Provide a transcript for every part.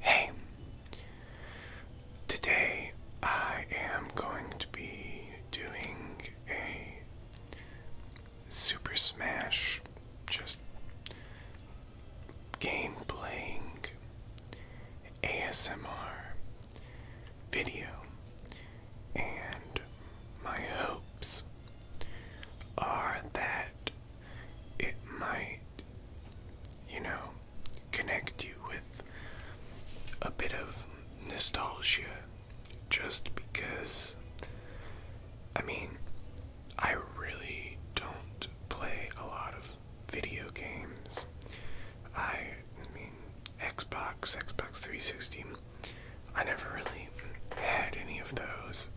Hey, today I am going to be doing a Super Smash just game playing, ASMR video, and my hopes are that it might, you know, connect you with a bit of nostalgia just because I mean, I really don't play a lot of video games. I mean, Xbox, Xbox 360, I never really had any of those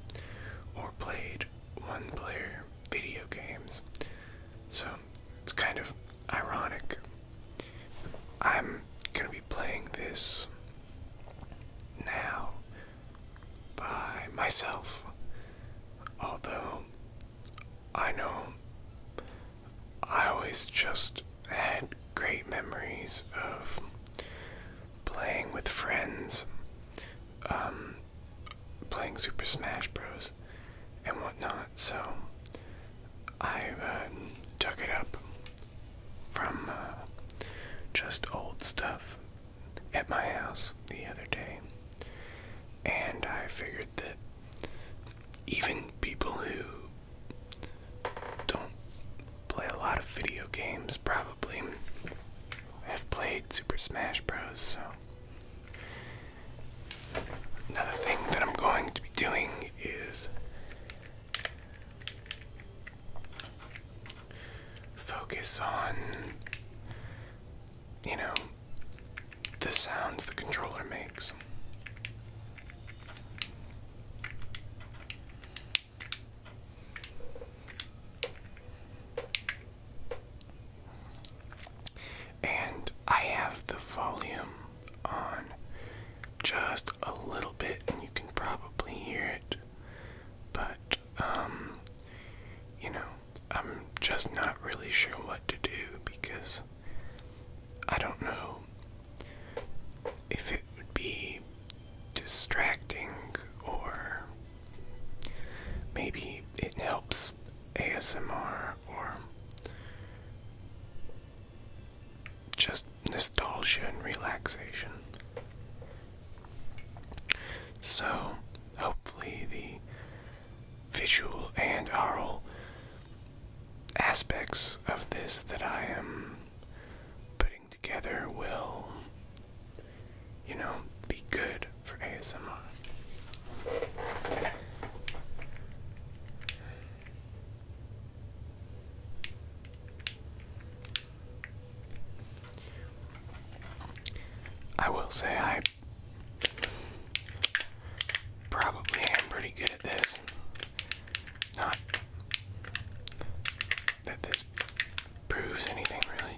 or played one player video games. So it's kind of ironic. I'm gonna be playing this now by myself. Although I know I always just had great memories of playing with friends, um, playing Super Smash Bros. and whatnot, so I took uh, it up from uh, just old stuff at my house the other day. And I figured that even people who don't play a lot of video games probably have played Super Smash Bros. So, another thing that I'm going to be doing is focus on you know the sounds the controller makes. And I have the volume on just a little bit, and you can probably hear it, but, um, you know, I'm just not really sure what to do because I don't know if it would be distracting or maybe it helps ASMR or just nostalgia and relaxation. So, hopefully, the visual and oral aspects of this that I am putting together will, you know, be good for ASMR. I will say I probably am pretty good at this. Not that this proves anything really.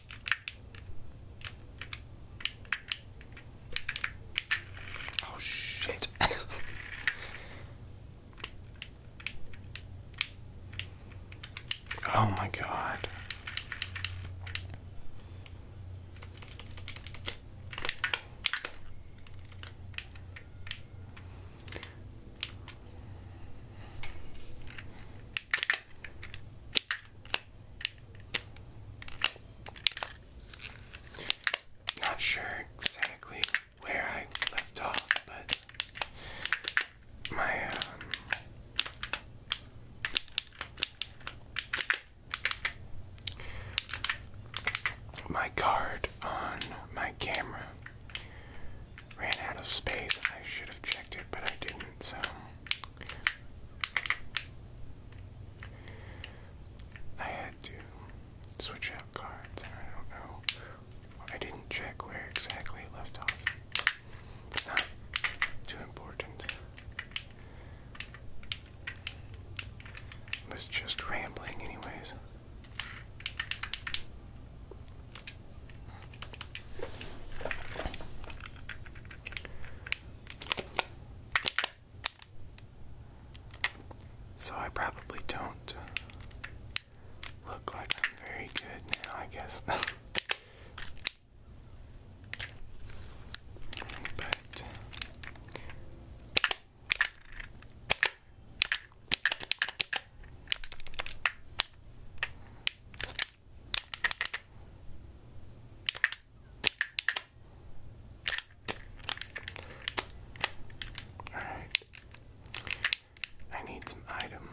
Oh shit. oh my god. Not sure exactly where I left off, but my, um, my card on my camera ran out of space. I should have checked it, but I didn't, so I had to switch out cards, and I don't know. I didn't check where exactly it left off. Not too important. was just rambling, anyways. So I probably don't look like I'm very good now, I guess. but all right. I need some items.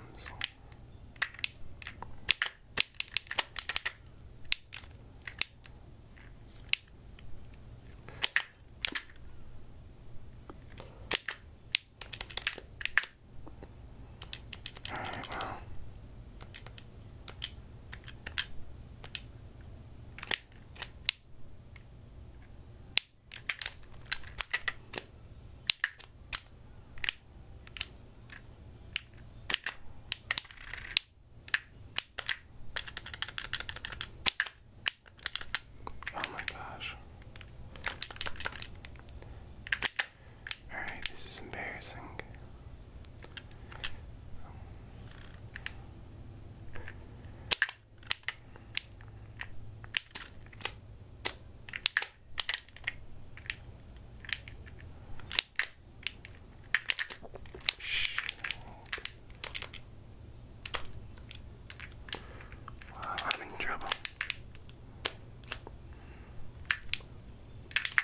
Alright, well. Oh my gosh. Alright, this is embarrassing. Shh. I'm in trouble.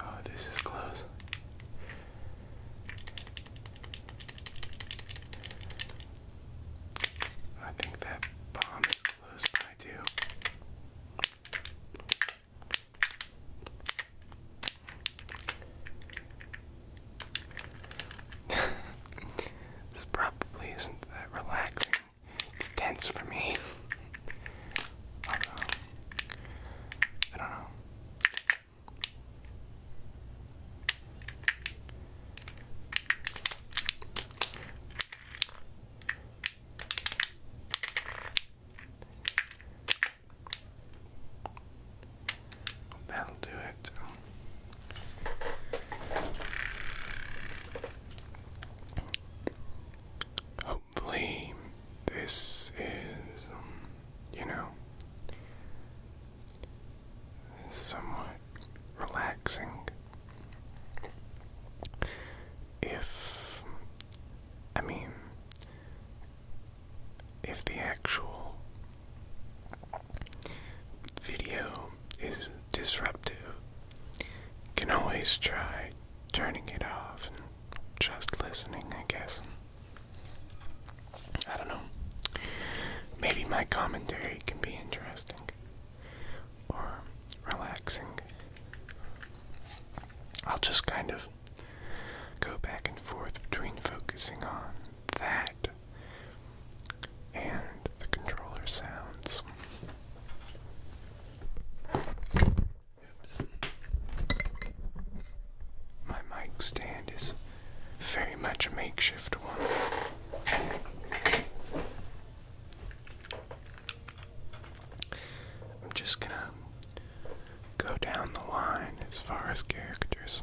Oh, this is close. I think that bomb is close by too. this probably isn't that relaxing it's tense for me. I don't know. I don't know. That'll do it. Hopefully, this is, um, you know, somewhat relaxing. If, I mean, if the actual video is disruptive. can always try turning it off and just listening, I guess. I don't know. Maybe my commentary can be interesting or relaxing. I'll just kind of go back and forth between focusing on that and the controller sounds. Oops. My mic stand is very much a makeshift one. I'm just gonna go down the line as far as characters.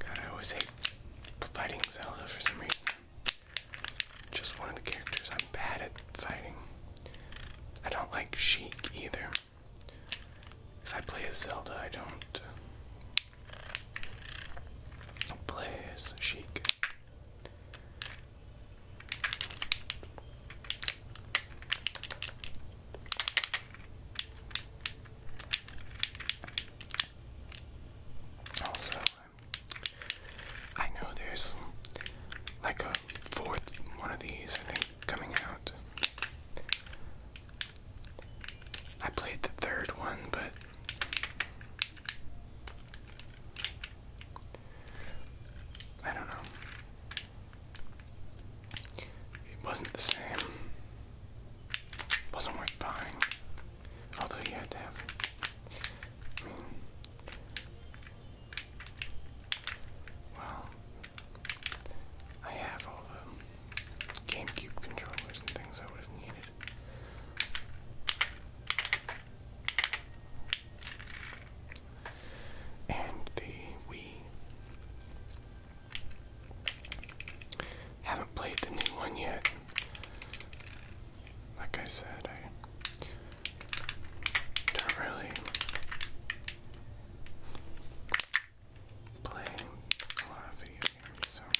God, I always hate fighting Zelda for some reason. Just one of the characters I'm bad at fighting. I don't like Sheik either. If I play as Zelda, I don't Plays chic. Also, I know there's like a fourth one of these, I think, coming out. I played the third one, but I don't know. It wasn't the same. It wasn't worth buying. Although you had to have. Well. I have all the GameCube controllers and things I would have needed and the Wii. Haven't played the new one yet. Like I said, I don't really play a lot of video games,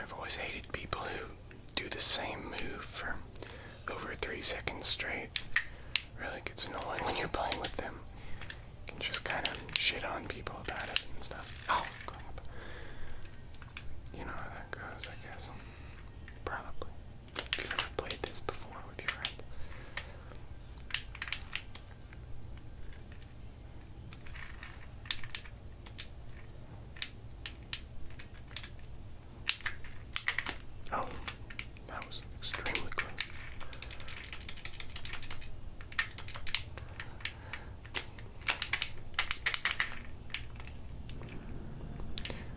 I've always hated people who do the same move for over three seconds straight. Really gets annoying when you're playing with them. You can just kind of shit on people about it and stuff. Oh, crap. You know how that goes, I guess. Probably. you ever played this before with your friends. Oh, that was extremely close.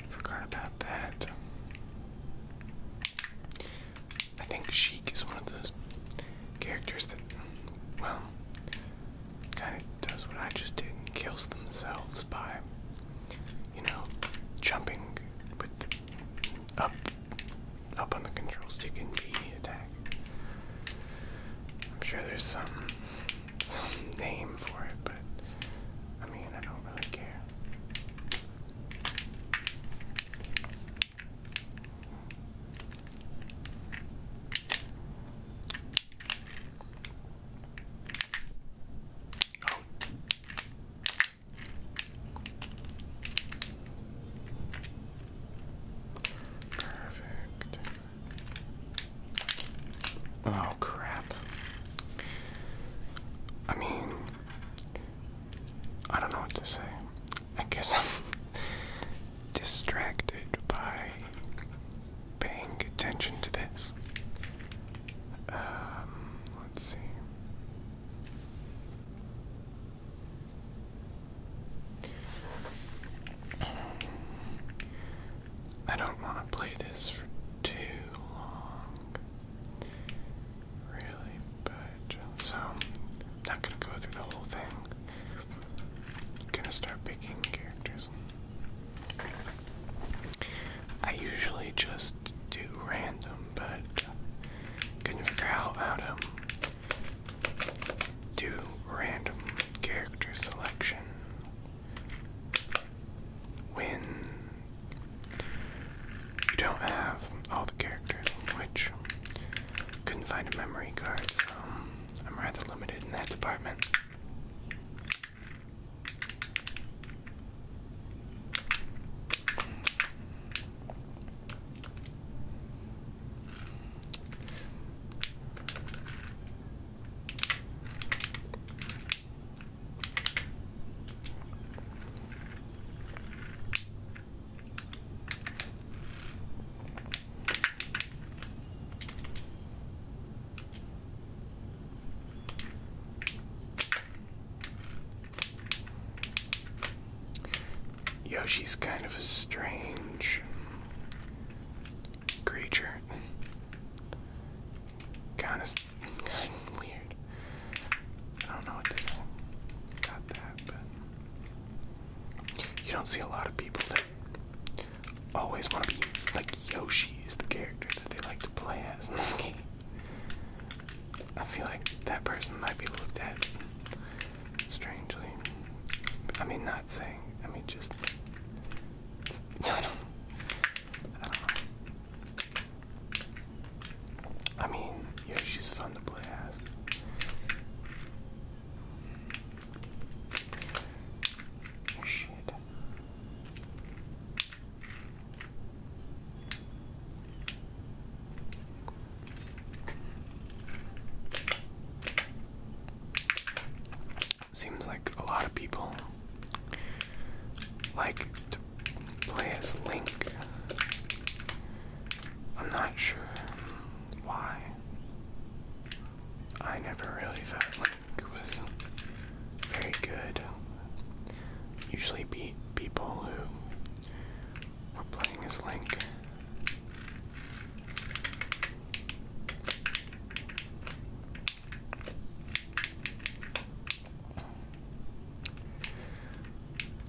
Forgot about that. I think Sheik is one of those characters that, well, kind of does what I just did and kills themselves by, you know, jumping with up, up on the control stick and B attack. I'm sure there's some some name for it, but I mean I don't really care. Perfect. Oh crap. I mean, I don't know what to say. I guess I'm distracted by paying attention to this. Um, let's see. I don't want to play this for too long really bad. So I'm not gonna go through the whole thing. I'm gonna start picking characters. I usually just do random, but couldn't figure out how to do random character selection when you don't have all the characters, which couldn't find a memory card, so I'm rather limited in that department. Yoshi's kind of a strange creature. Kind of, kind of weird. I don't know what to say about that, but. You don't see a lot of people that always want to be like Yoshi is the character that they like to play as in this game. I feel like that person might be looked at strangely. I mean, not saying. I mean, just. I don't, I mean, yeah, she's fun to play as. Shit. Seems like a lot of people like to play as Link. I'm not sure why. I never really thought Link was very good. Usually beat people who were playing as Link.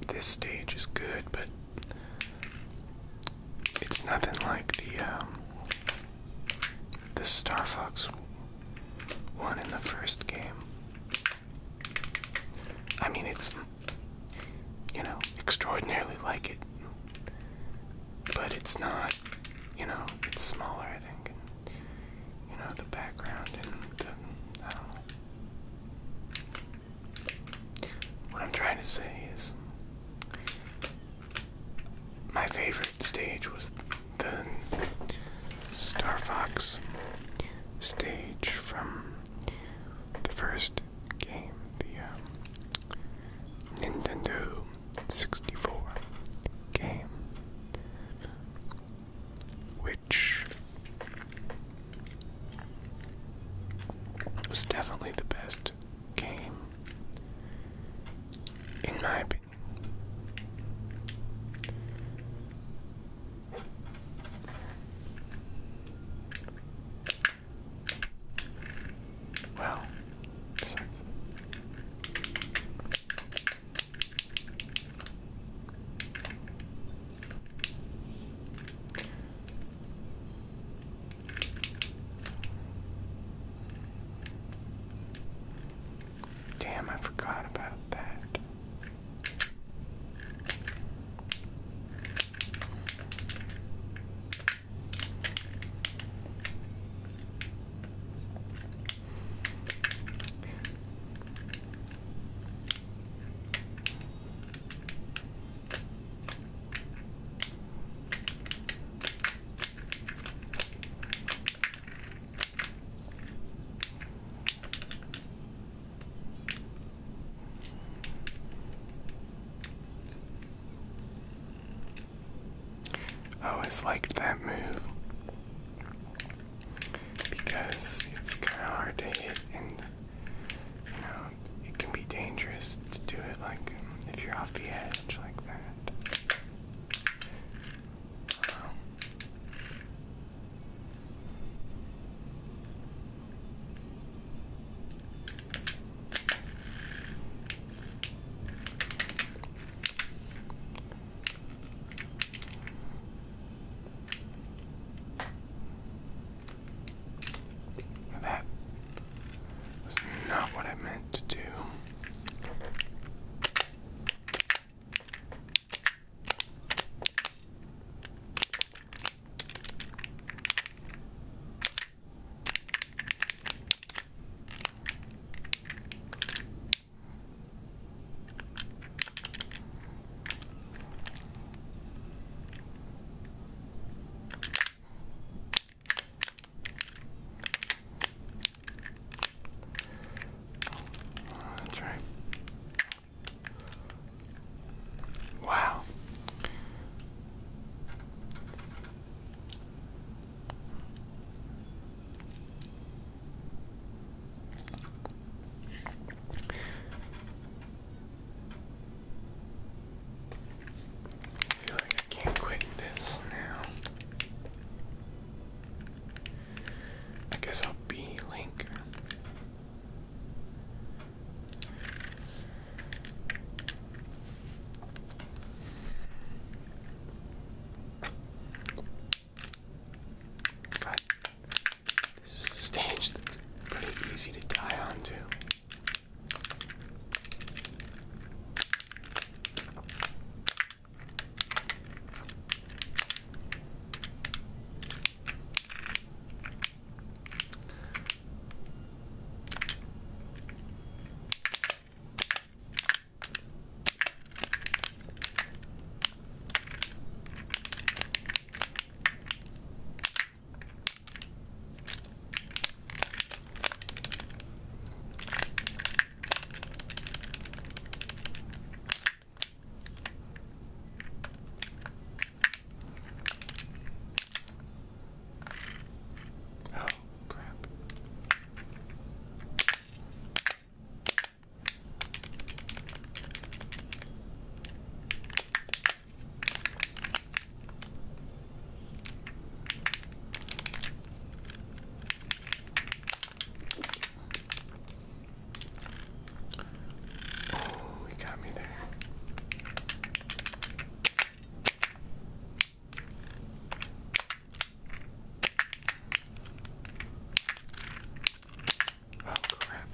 This stage is good, but it's nothing like the um, the Star Fox one in the first game. I mean, it's you know extraordinarily like it, but it's not. You know, it's smaller. I think. you know the background and the um, what I'm trying to say is my favorite stage was the Star Fox stage from the first game, the um, Nintendo 64 game, which it was definitely the best game, in my opinion. Wow, besides. Damn, I forgot about that. I always liked that move because it's kind of hard to hit and you um, know, it can be dangerous to do it like if you're off the edge like that. That was not what I meant to do. Oh, that's right. Wow. I feel like I can't quit this now. I guess I'll be Link. God this is a stage that's pretty easy to die on too. Oh, crap. Oh, he got me there. Oh crap.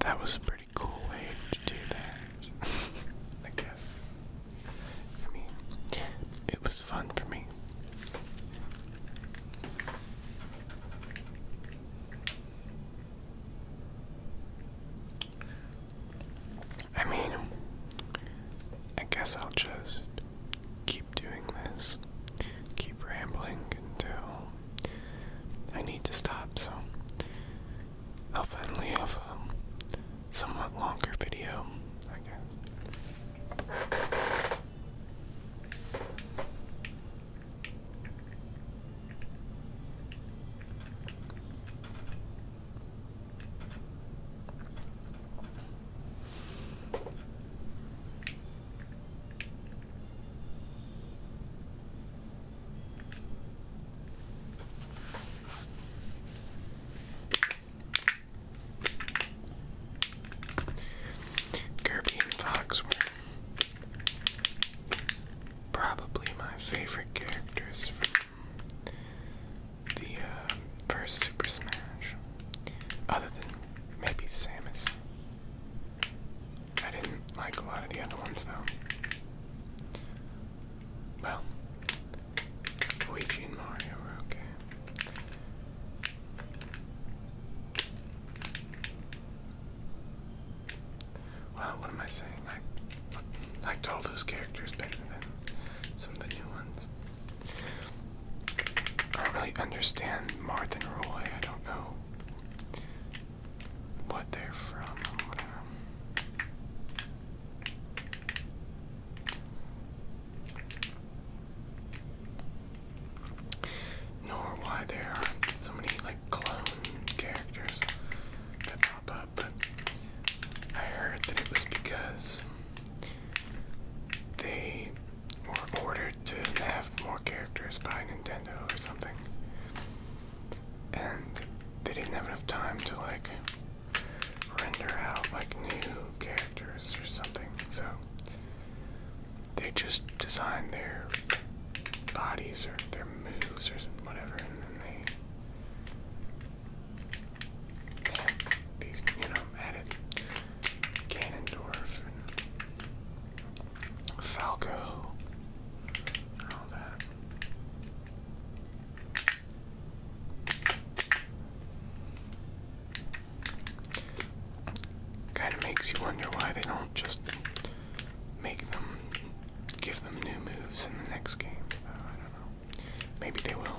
That was a pretty cool way to do that, I guess. I mean, it was fun for me. I mean, I guess I'll just keep doing this, keep rambling until I need to stop. So I'll finally have um, somewhat longer video, I guess. Kirby and Fox were probably my favorite characters from the uh, first Super Smash, other than maybe Samus. I didn't like a lot of the other ones though. Well, Luigi Mario okay. Well, what am I saying? I liked all those characters better than some of the new ones. I don't really understand Marth and Roy. I don't know what they're from nor why there are so many like clone characters that pop up, but I heard that it was because they were ordered to have more characters by Nintendo or something. And they didn't have enough time to like render out like new characters or something. So they just design their bodies or their moves or whatever, and then they add these, you know, added Ganondorf and Falco and all that. Kind of makes you wonder why they don't just make them, give them new moves in the next game. Uh, I don't know. Maybe they will.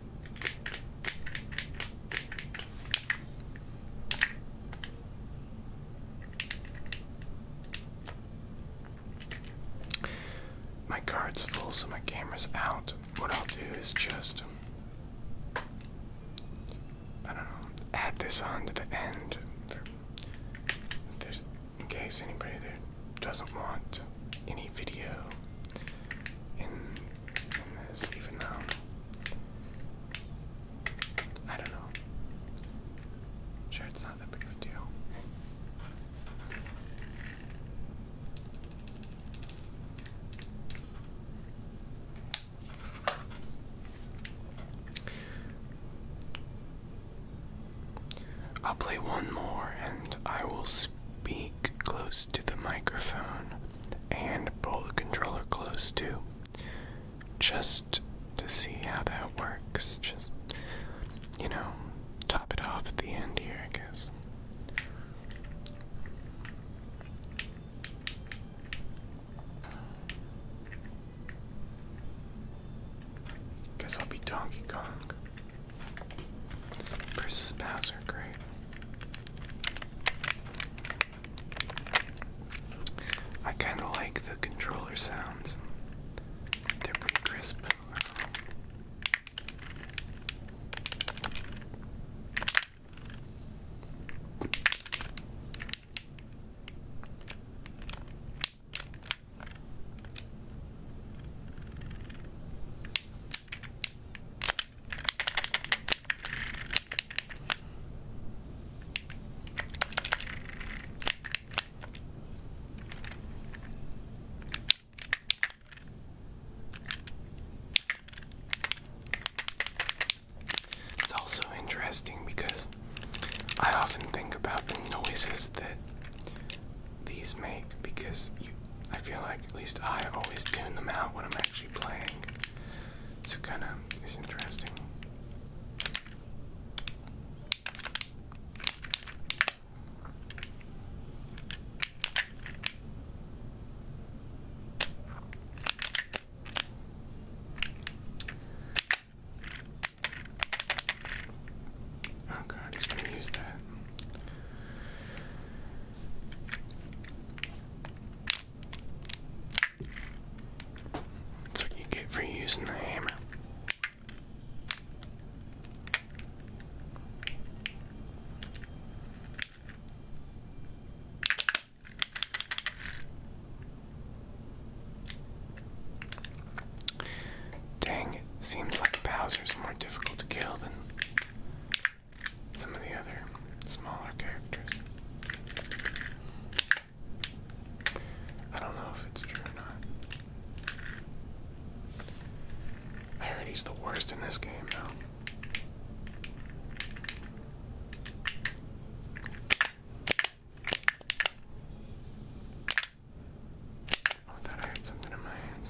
My card's full, so my camera's out. What I'll do is just. I don't know. Add this on to the end. in case anybody there doesn't want any video even though I don't know. Sure, it's not that big deal. I'll play one more and I will speak close to the microphone and pull the controller close to just to see how that works. Just, you know, top it off at the end here, I guess. Guess I'll be Donkey Kong versus Bowser, great. I kind of like the controller sounds. They're pretty crisp. It's also interesting because I often think about the noises that these make because you I feel like at least I always tune them out when I'm actually playing. So kind of is interesting. Oh god, gonna use that. That's what you get for using the hammer. Dang, it seems like Bowser's more difficult to kill than some of the other smaller characters. I don't know if it's true or not. I heard he's the worst in this game, though. Oh, I thought I had something in my hands.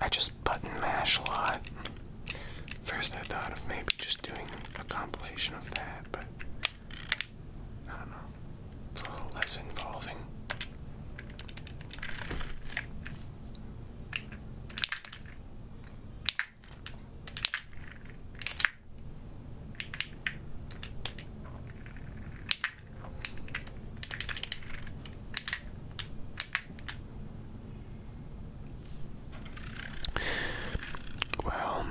I just button mash a lot. First, I thought of maybe just doing a compilation of that, but I don't know. It's a little less involving. Well,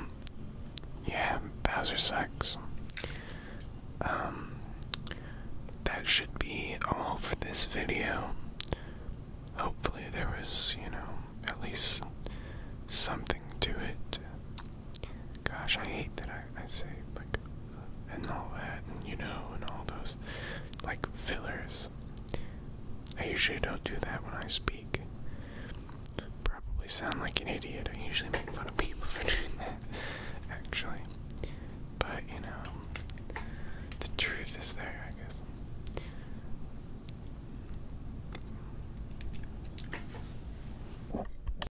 yeah, Bowser sucks. Um, that should be all for this video. Hopefully, there was, you know, at least something to it. Gosh, I hate that I, I say like and all that and you know and all those like fillers. I usually don't do that when I speak. Probably sound like an idiot. I usually make fun of people for doing that, actually. But you know, the truth is there, I guess.